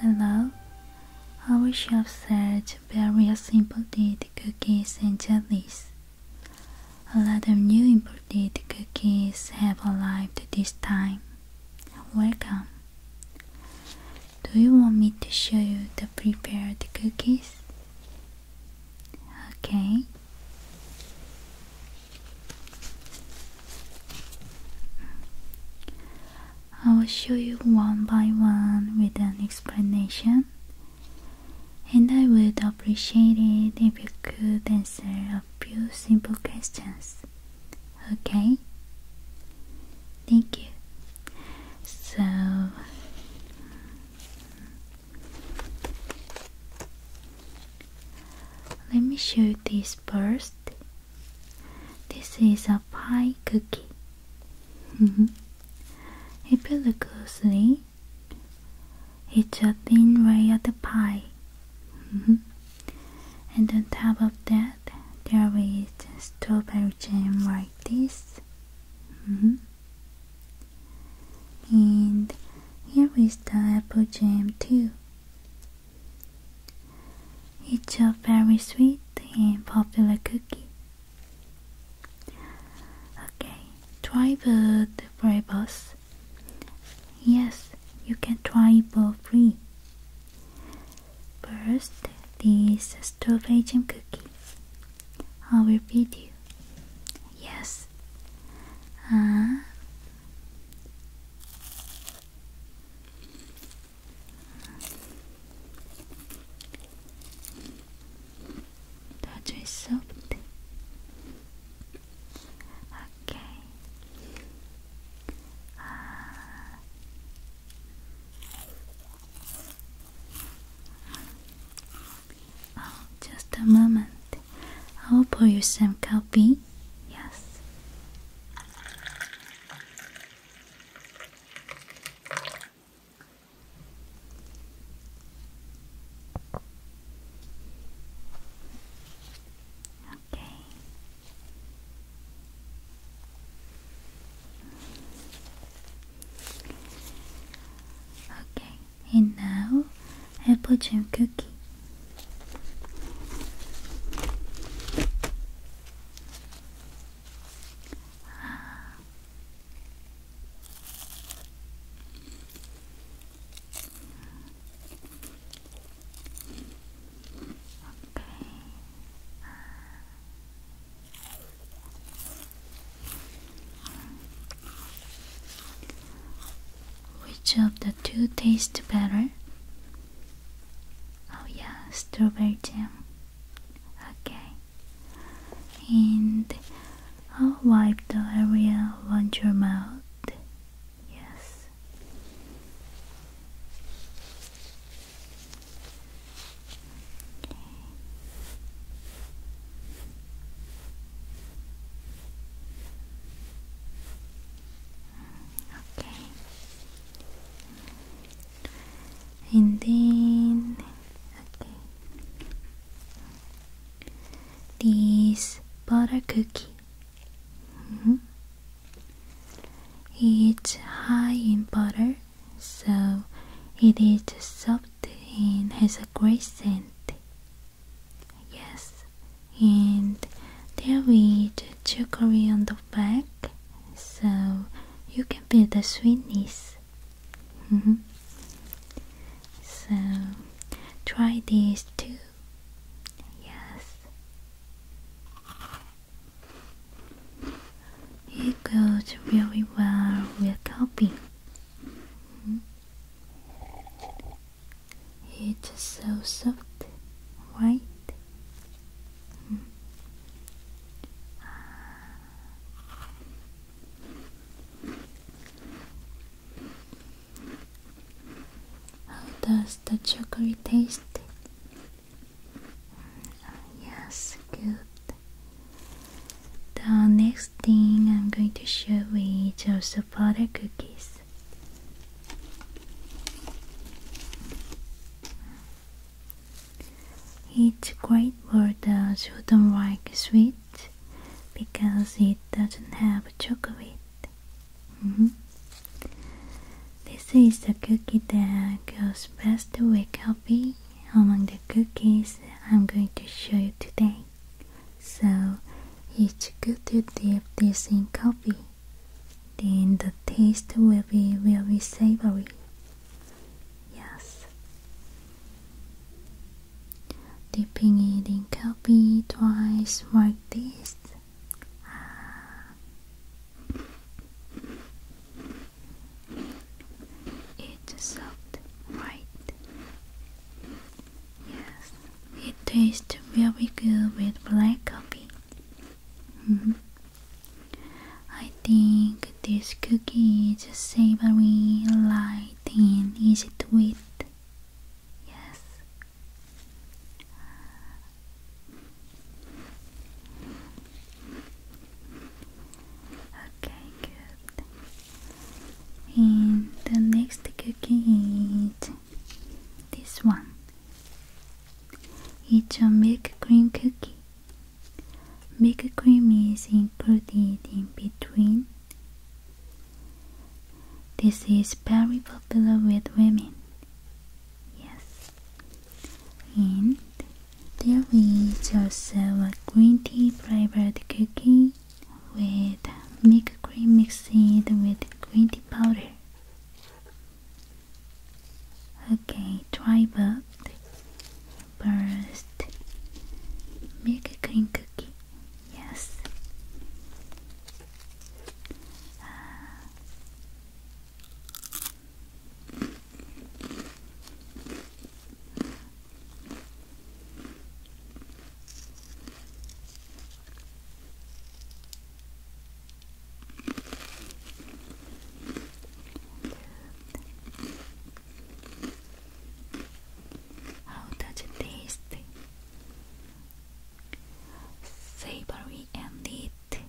Hello, our chef said various simple did cookies and jellies. A lot of new imported cookies have arrived this time. Welcome. Do you want me to show you the prepared cookies? Okay. I will show you one by one with an explanation and I would appreciate it if you could answer a few simple questions. Okay? Thank you. So, let me show you this first. This is a pie cookie. if you look closely, it's a thin layer of the pie. Mm-hmm. and on top of that, there is strawberry jam like this. Mm-hmm. And here is the apple jam too. It's a very sweet and popular cookie. Okay, try the free bus. Yes, you can try for free. First, this strawberry jam cookie. I will feed you. Yes. Uh, 아주 soft. Okay. Uh, oh, just a moment. I'll pour you some coffee. Yes. Okay. Okay, and now apple in cookie. Which of the two tastes better? Oh, yeah, strawberry jam. Okay. And I'll wipe the area around your mouth. Yes. Okay. And then these butter cookie. Mm-hmm. It's high in butter, so it is soft and has a great scent. Yes, and there is chicory on the back, so you can feel the sweetness. Mm-hmm. So try this too. Yes. It goes very well with coffee. Mm -hmm. It's so soft, right? How does the chocolate taste? Mm, yes, good. The next thing I'm going to show you is the butter cookies. It's great for those who don't like sweet because it doesn't have chocolate. Mm-hmm. This is the cookie that goes best with coffee among the cookies I'm going to show you today. So it's good to dip this in coffee. Then the taste will be very savory. Yes. Dipping it in coffee twice like this. Ah. It's soft, right? Yes, it tastes very good with black coffee. -hmm. I think this cookie is savory, light, and easy to eat. Yes. Okay, good. And the next cookie is this one. It's a milk cream cookie. Milk cream is included in between. This is very popular with women. Yes. And there is also a green tea flavored cookie with milk cream mixed with green tea powder. Okay, try first, make a cream cookie. Yes. How does it taste? Savory and neat. Okay.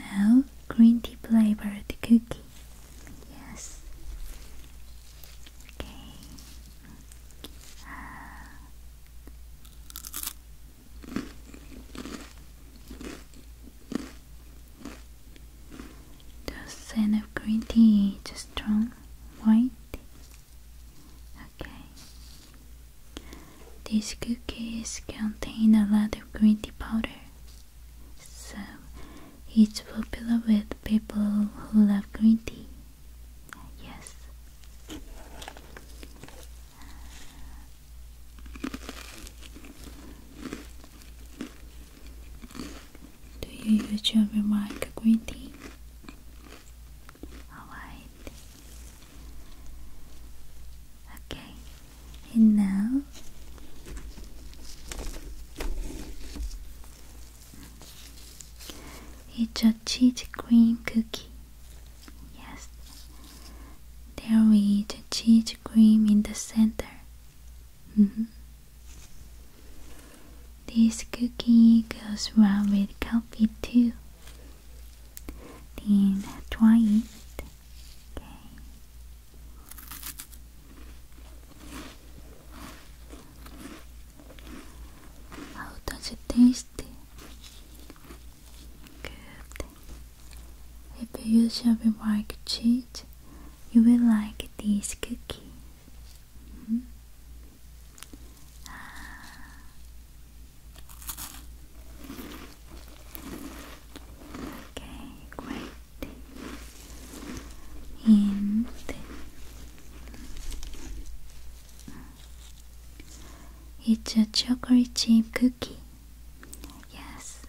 Now green tea flavored cookie. Yes. Okay. Ah. The scent of green tea is strong, white. Okay. These cookies contain a lot of green tea powder, so it's popular with people who love green tea. Yes. Do you use your green Alright. Okay, and now it's a cheese cream cookie. Yes. There with the cheese cream in the center. -hmm. This cookie goes well with coffee too. Then try it. How does it taste? Good. If you use your remark cheat, you will like this cookie. Hmm? Ah. Okay, great. And it's a chocolate chip cookie. Yes,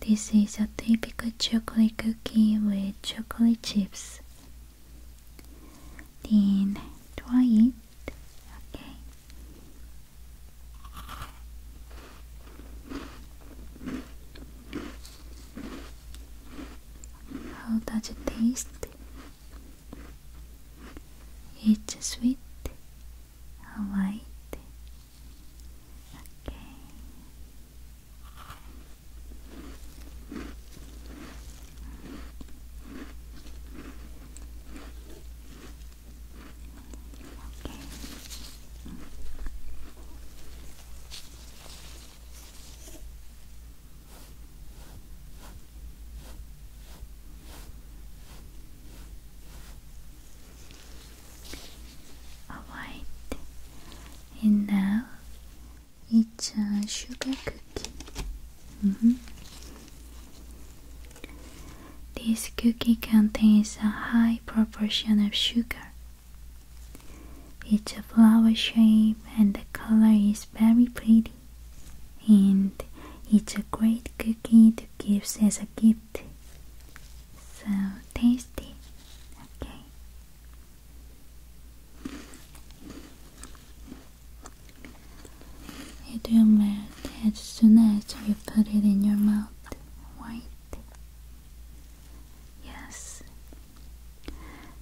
this is a typical chocolate cookie with chocolate chips. Then try it. Okay. How does it taste? It's a sweet, white. Okay. Alright, and now it's a sugar cookie. Mm-hmm. This cookie contains a high proportion of sugar. It's a flower shape and the color is very pretty. And it's a great cookie to give as a gift. So tasty. Okay. It will melt as soon as you put it in your mouth. White. Yes,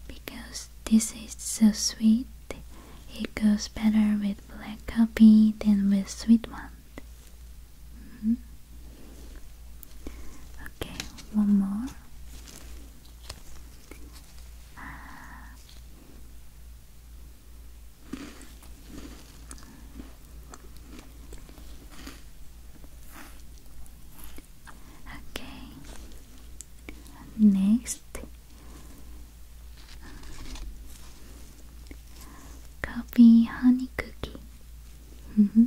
because this is so sweet, it goes better with black coffee than with sweet one. Mm-hmm. Okay, one more. Okay. Next. Coffee honey cookie. Mm-hmm.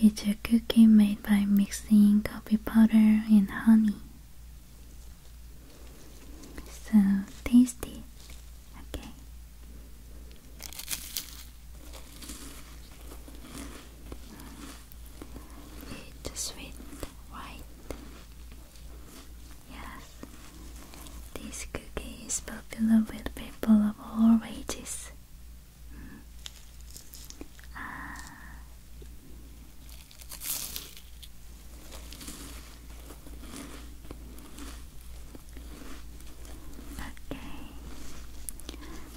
it's a cookie made by mixing coffee powder and honey. So tasty. Okay. It's sweet white. Yes, this cookie is popular with people of all ages. Mm. Ah. Okay,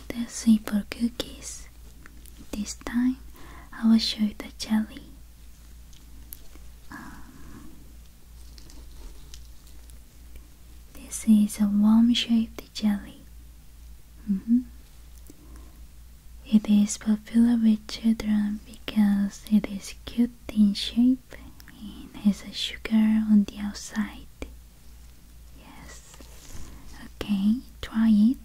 the simple cookies this time I will show you the jelly. Um, this is a worm shaped jelly. Mm-hmm. It is popular with children because it is cute in shape and has a sugar on the outside. Yes. Okay, try it.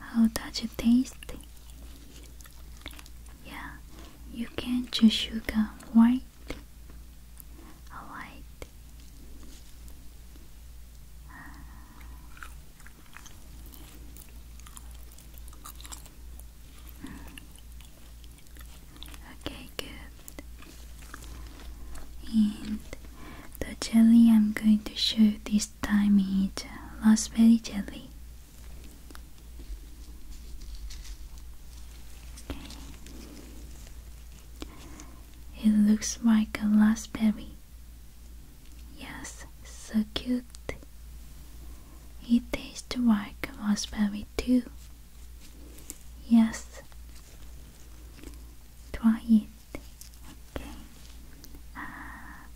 How does it taste? Yeah, you can choose sugar white. Alright. Okay, good. And the jelly I'm going to show this time is raspberry jelly. Okay. It looks like a raspberry. Yes, so cute. It tastes like raspberry too. Yes. Try it. Okay. Ah.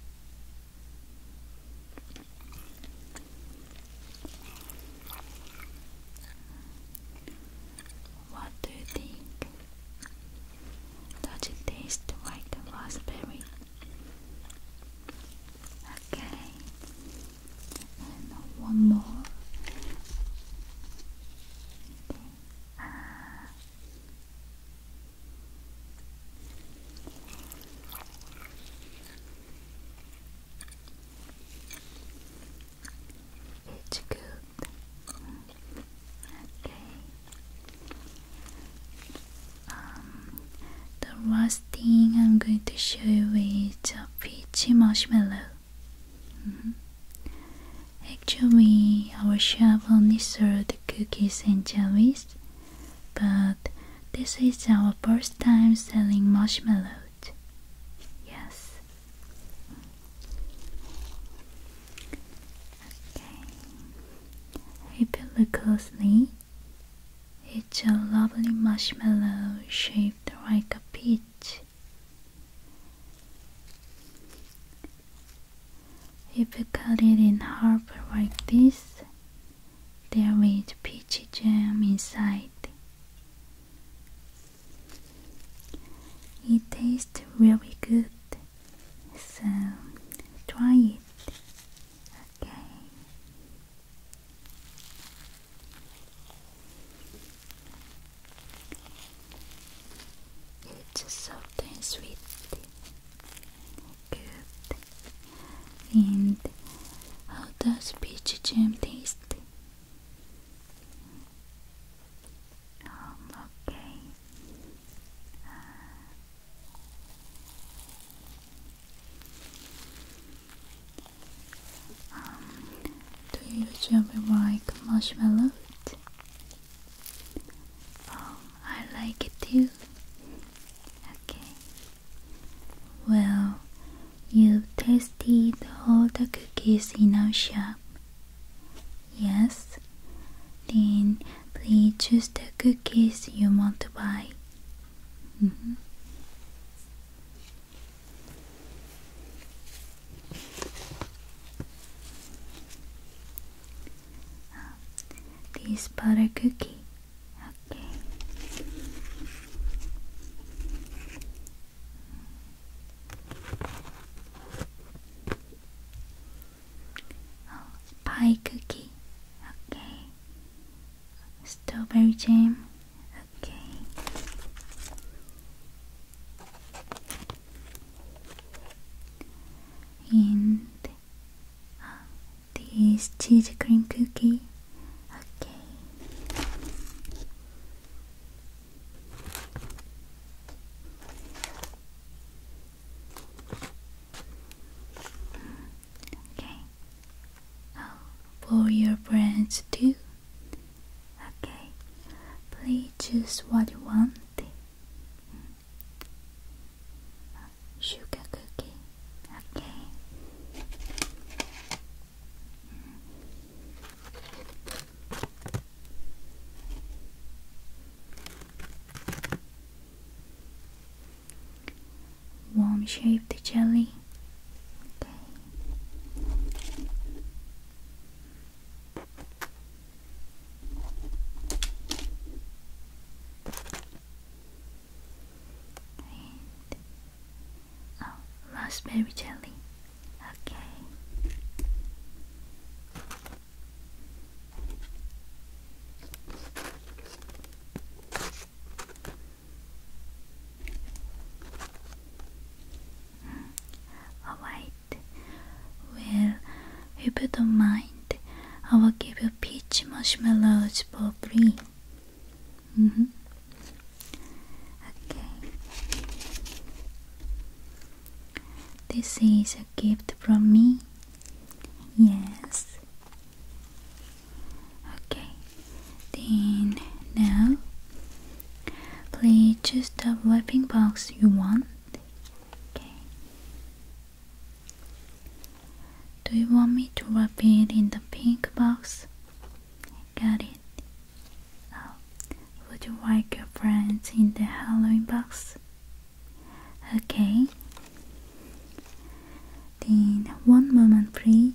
what do you think? Does it taste like a raspberry? Okay, one more. it's good. Okay. Um, the last thing I'm going to show you is a peachy marshmallow. Mm-hmm. Actually, our shop only served cookies and jellies, but this is our first time selling marshmallows. Yes. Okay. If you look closely, it's a lovely marshmallow shaped like a peach. If you cut it in half like this, there is peachy jam inside. It tastes really good. So try it. Okay. It's soft and sweet. Good. And how does peach jam taste? Um, okay. Um, do you usually like marshmallow? Um, I like it too. Okay. Well, you've tasted all the cookies in our shop. Yes? Then please choose the cookies you want to buy. Mm-hmm. Ah, this butter cookie. Okay. Oh, pie cookie, okay, strawberry jam, okay. And uh, this cheese cream cookie. Okay. Okay. Oh, for your friends too. Okay. Please choose what you want. Sugar cookie. Okay. Warm shaped jelly. Okay. Oh, raspberry jelly. Okay. Alright, well, if you don't mind, I will give you peach marshmallows for free. Mm -hmm. Okay. This is a gift from me. Yes. Okay. Then now, please choose the wrapping box you want. Okay. Do you want me to wrap it in the pink box? Got it would you like a friend in the Halloween box? Okay. Then one moment, please.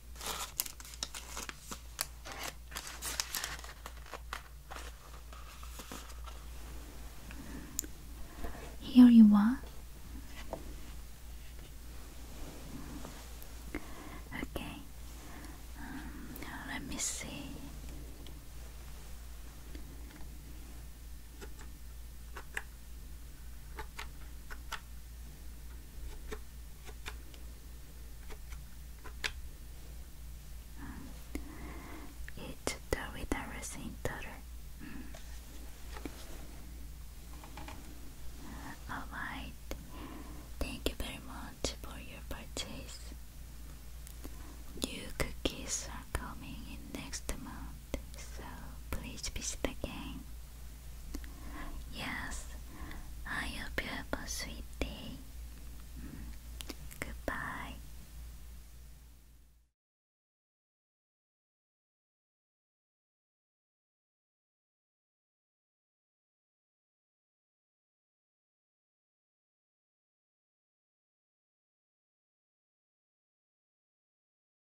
Here you are. Okay. Um, let me see. うん、えちょっとウィダルスイントル、うん、Alright, hmm. thank you very much for your purchase. New cookies are coming in next month so please visit again. Yes, have a sweet day. Mm, goodbye.